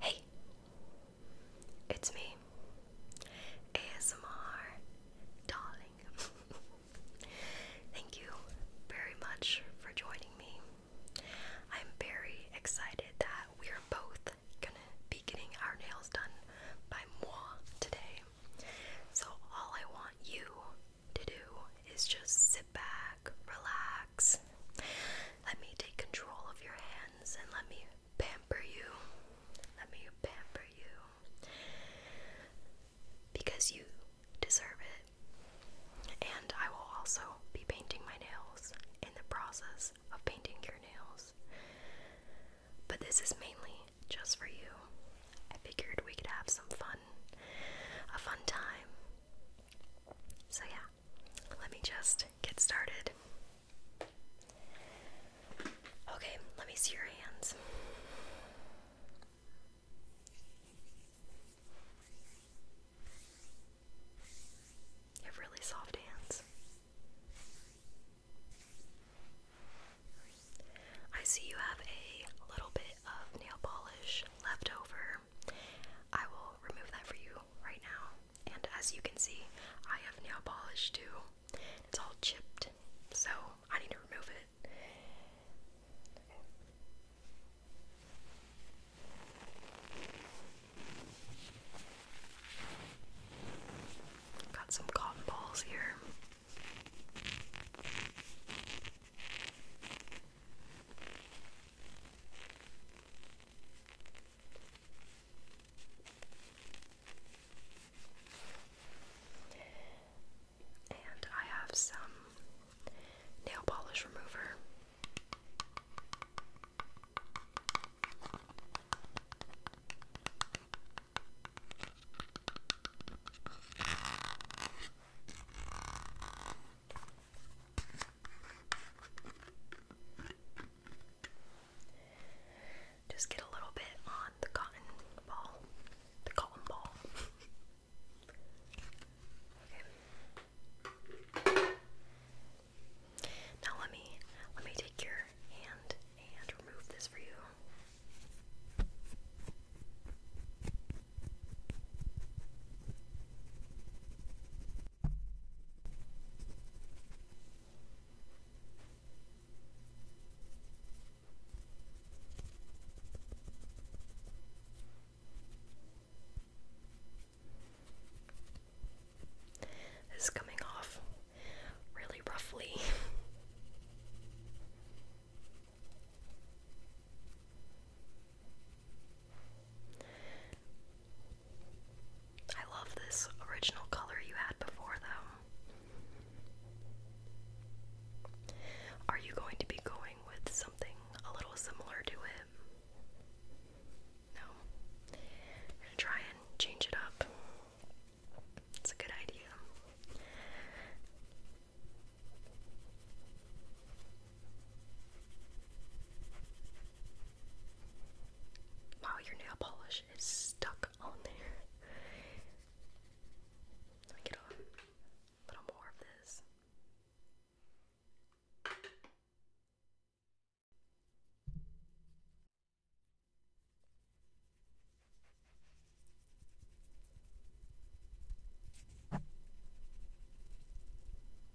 Hey, it's me, ASMR Darling. Thank you very much for joining me. I'm very excited that we are both gonna be getting our nails done by moi today. So, all I want you to do is just back, relax. Let me take control of your hands and let me pamper you. Let me pamper you. Because you deserve it. And I will also be painting my nails in the process of painting your nails. But this is mainly just for you. I figured we could have some fun, a fun time. So, yeah, let me just get started. Okay, let me see your hands. You have really soft hands. I see you have a little bit of nail polish left over I will remove that for you right now. And as you can see, I have nail polish too. It's all chipped, so I need to remove it. Got some cotton balls here. And I have some nail polish remover. Just get a little bit on the cotton ball. The cotton ball. okay. Now let me let me take your hand and remove this for you. This is coming off really roughly. I love this original color you had before, though. Are you going to be going with something a little similar to it? No. I'm gonna try and change it up. It's a good idea. Wow, your nail polish is stuck on there. Let me get a little more of this.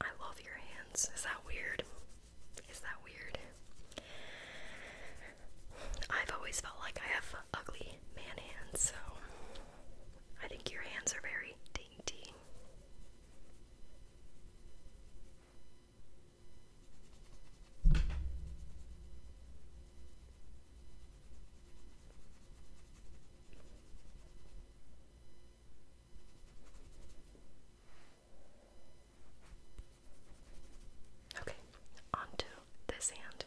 I love your hands. Is that weird? Is that weird? I've always felt like I have ugly man hands, so I think your hands are very dainty. Okay, onto this hand.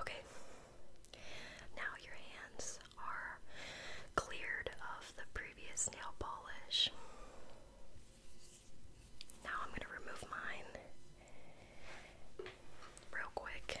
Okay, now your hands are cleared of the previous nail polish. Now I'm going to remove mine real quick.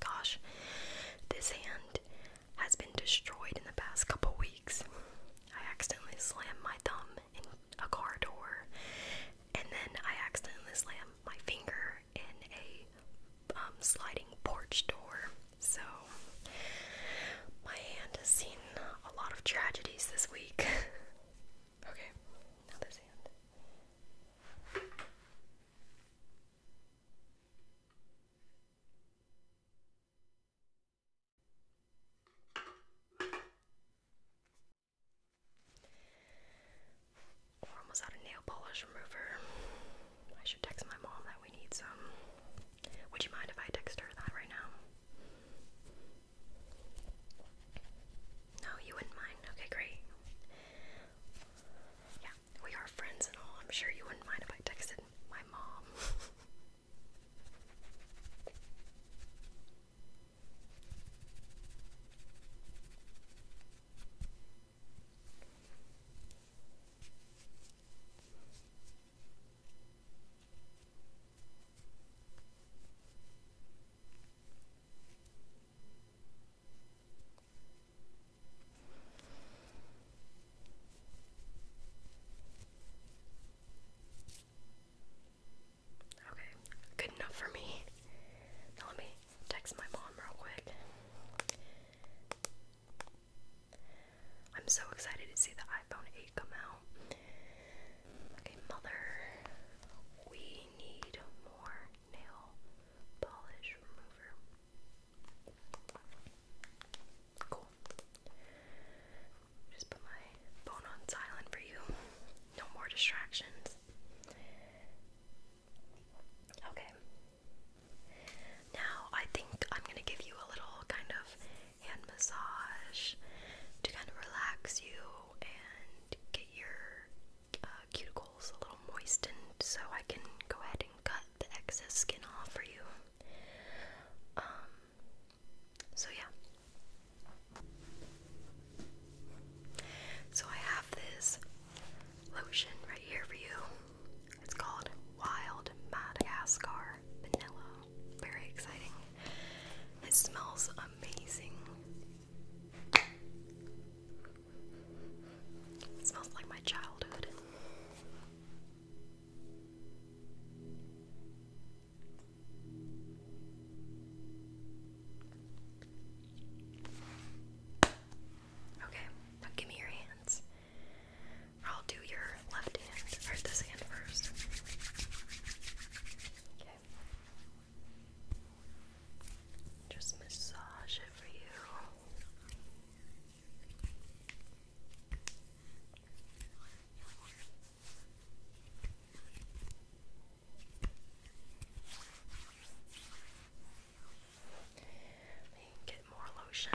Gosh, this hand has been destroyed in the past couple weeks. I accidentally slammed my thumb in a car door, and then I accidentally slammed my finger in a um, sliding porch door. So my hand has seen a lot of tragedies this week. okay, now this hand. We're almost out of nail polish remover. I should text my mom that we need some. Would you mind if I text her that right now? No, you wouldn't mind. Okay, great. Yeah, we are friends and all. I'm sure you wouldn't mind if I texted my mom. Okay, good enough for me. Now let me text my mom real quick. I'm so excited to see the iPhone 8 come out. Okay, mother, we need more nail polish remover. Cool. Just put my phone on silent for you. No more distractions. Okay. Now I think I'm going to give you a little kind of hand massage to kind of relax you and get your uh, cuticles a little moistened so I can go ahead and cut the excess skin off for you. Um, so yeah. So I have this lotion right here for you. It's called Wild Madagascar Vanilla very exciting. It smells amazing. It smells like my childhood. Okay, give me your hands. I'll do your left hand, or this hand first. Okay. Just massage it for you. Get more lotion.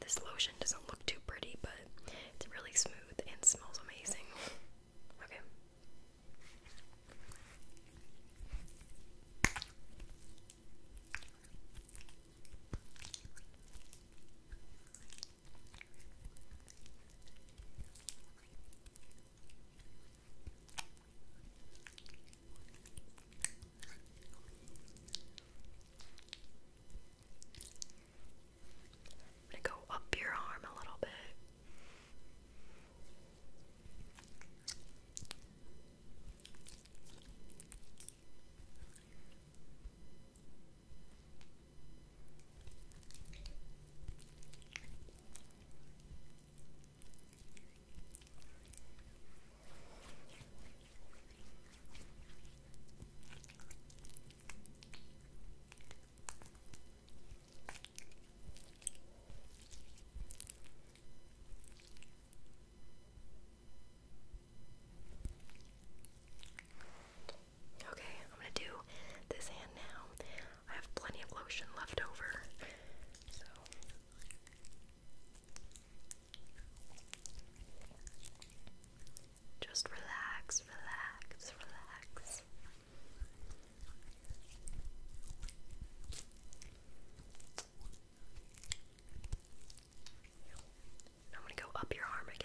This lotion doesn't look too pretty, but it's really smooth and smells amazing. Okay. I'm going to go up your arm a little bit. Okay, I'm gonna do this hand now. I have plenty of lotion left over, so just relax, relax, relax. I'm going to go up your arm again.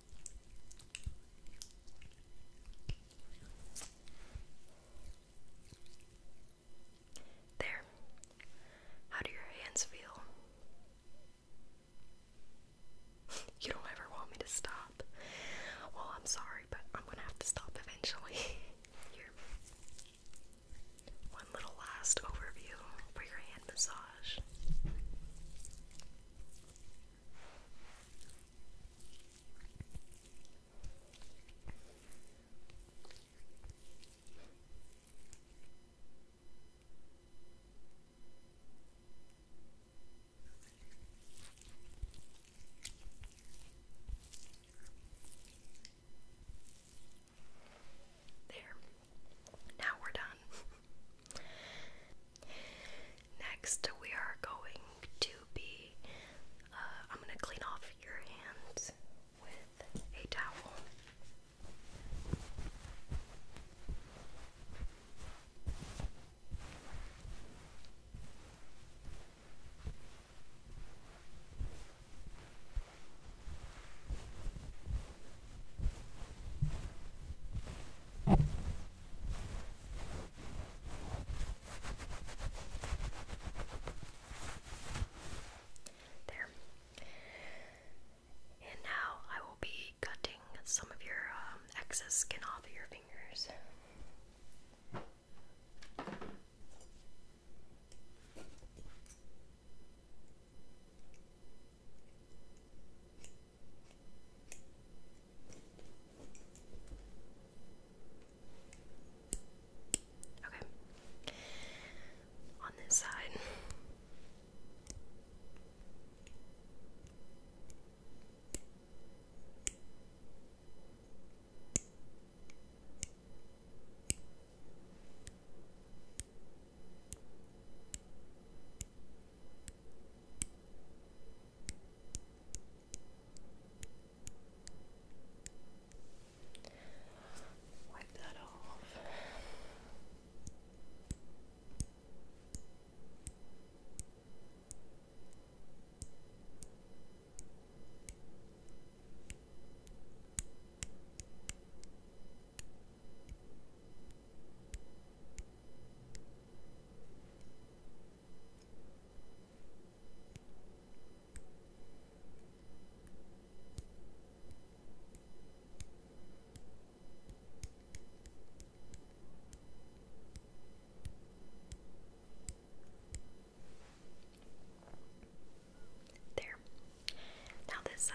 There. How do your hands feel? you don't ever want me to stop. Well, I'm sorry, but I'm gonna have to stop eventually. One little last overview for your hand massage. There. Now we're done. Next, we are going to be. Uh, I'm going to clean off your hands with a towel. There. And now I will be cutting some of your um, excess skin off of your fingers. Okay. On this side. Wipe that off. There. Now this side.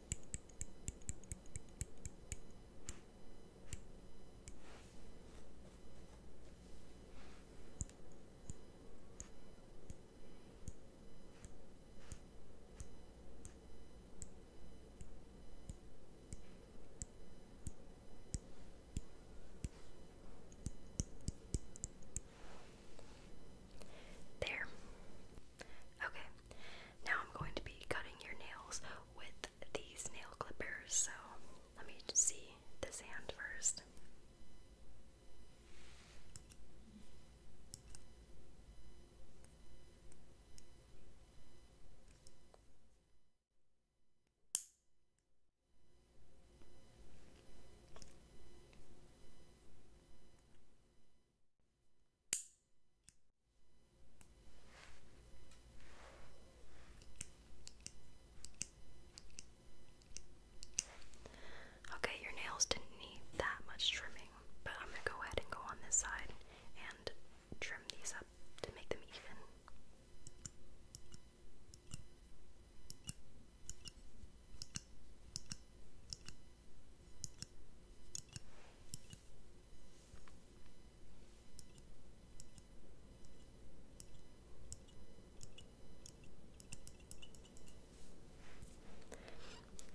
There. Okay. Now I'm going to be cutting your nails with these nail clippers. So let me see this hand first. Okay, your nails didn't need that much trimming, but I'm going to go ahead and go on this side and trim these up to make them even.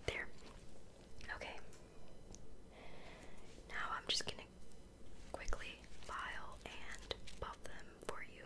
There. Okay. Now I'm just going to quickly file and buff them for you.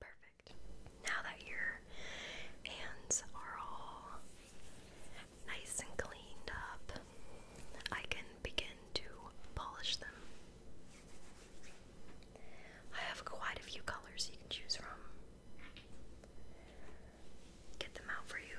Perfect. Now that your hands are all nice and cleaned up, I can begin to polish them. I have quite a few colors you can choose from. Get them out for you.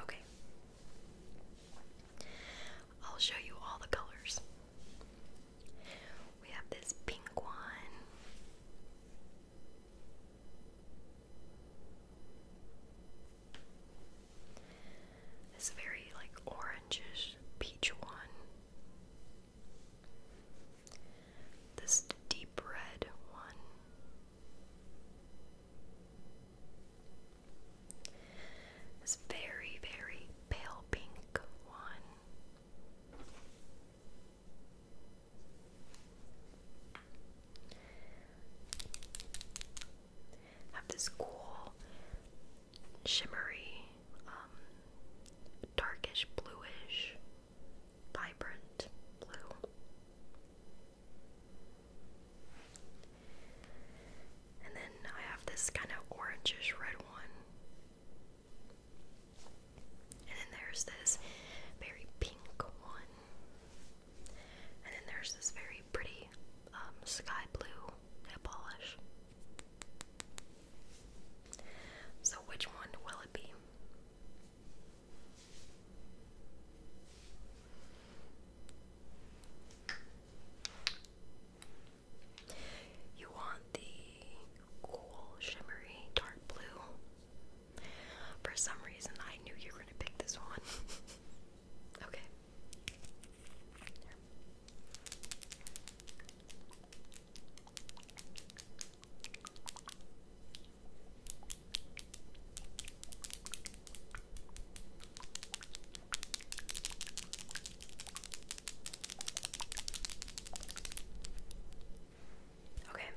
Okay. I'll show you all the colors. We have this pink one. This very like orangish peach one. This deep red one. This very, very pale pink one. Have this cool, shimmery, um, darkish, bluish vibrant blue. And then I have this kind of orangish red one. And then there's this very pink one. And then there's this very pretty um, sky blue nail polish. So, which one will it be? You want the cool, shimmery, dark blue. For some reason, I knew you were going to pick this one. okay. Okay.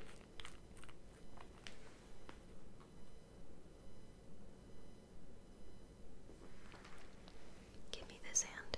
Give me this hand.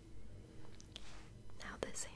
Now this hand.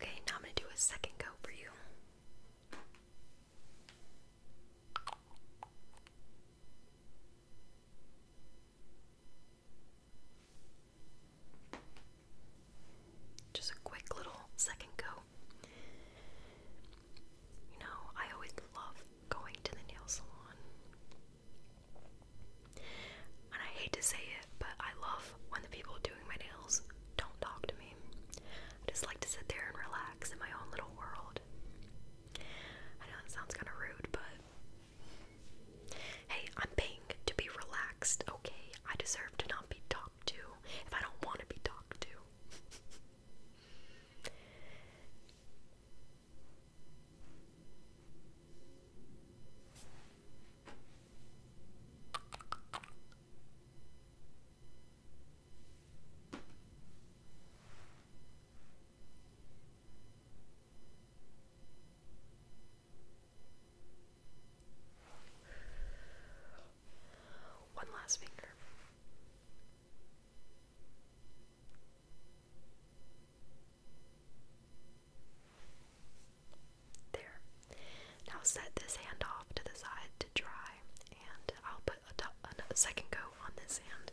Okay, now I'm going to do a second go for you. Just a quick little second go. You know, I always love going to the nail salon. And I hate to say it, but I love when the people doing my nails don't talk to me. I just like to sit there and relax in my own little world. I know it sounds kind of rude, but Hey, I'm paying to be relaxed, okay? I deserve to not be talked to if I don't want to be talked to. One last finger. There. Now set this hand off to the side to dry, and I'll put a, second coat on this hand.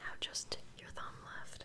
Now just your thumb left.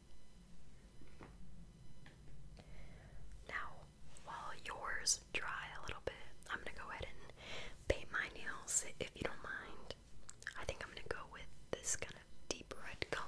Now, while yours dry a little bit, I'm gonna go ahead and paint my nails if you don't mind. I think I'm gonna go with this kind of deep red color.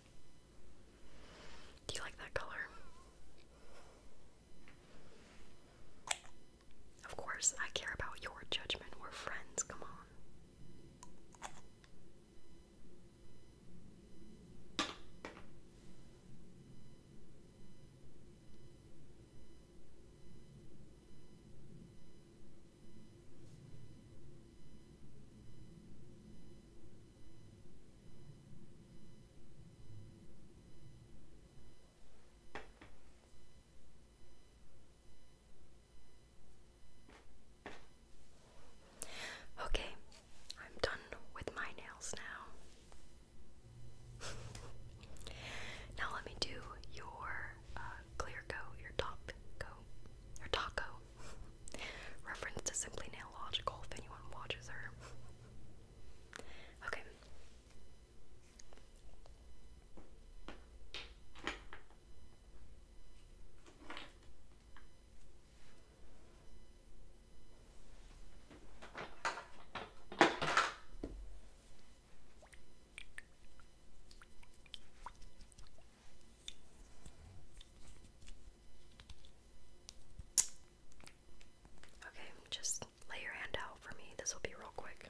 Do you like that color? Of course, I care about your judgment. We're friends, come on. Okay, I'm done with my nails now. now let me do your uh, clear coat, your top coat, your taco. Reference to Simply Nail Logical if anyone watches her. okay. Okay, just lay your hand out for me. This will be real quick.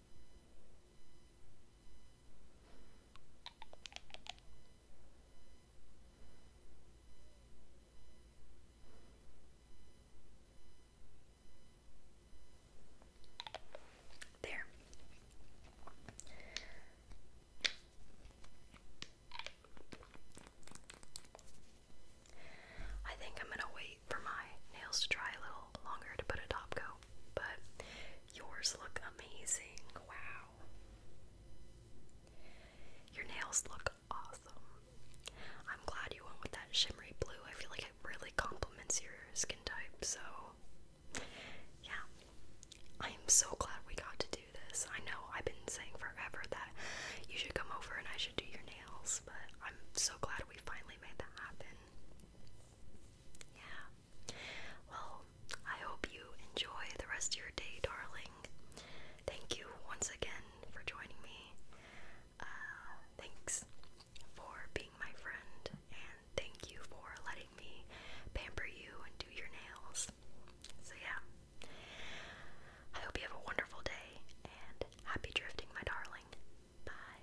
There. I think I'm going to wait for my nails to dry a little longer to put a top coat, but Yours look amazing. Wow. Your nails look awesome. I'm glad you went with that shimmery blue. I feel like it really complements your skin type, so yeah. I am so glad we got to do this. I know I've been saying forever that you should come over and I should do your nails, but I'm so glad we finally made that happen. Yeah. Well, I hope you enjoy the rest of your day, darling. Thank you once again for joining me. Uh, thanks for being my friend, and thank you for letting me pamper you and do your nails. So, yeah. I hope you have a wonderful day and happy drifting, my darling. Bye.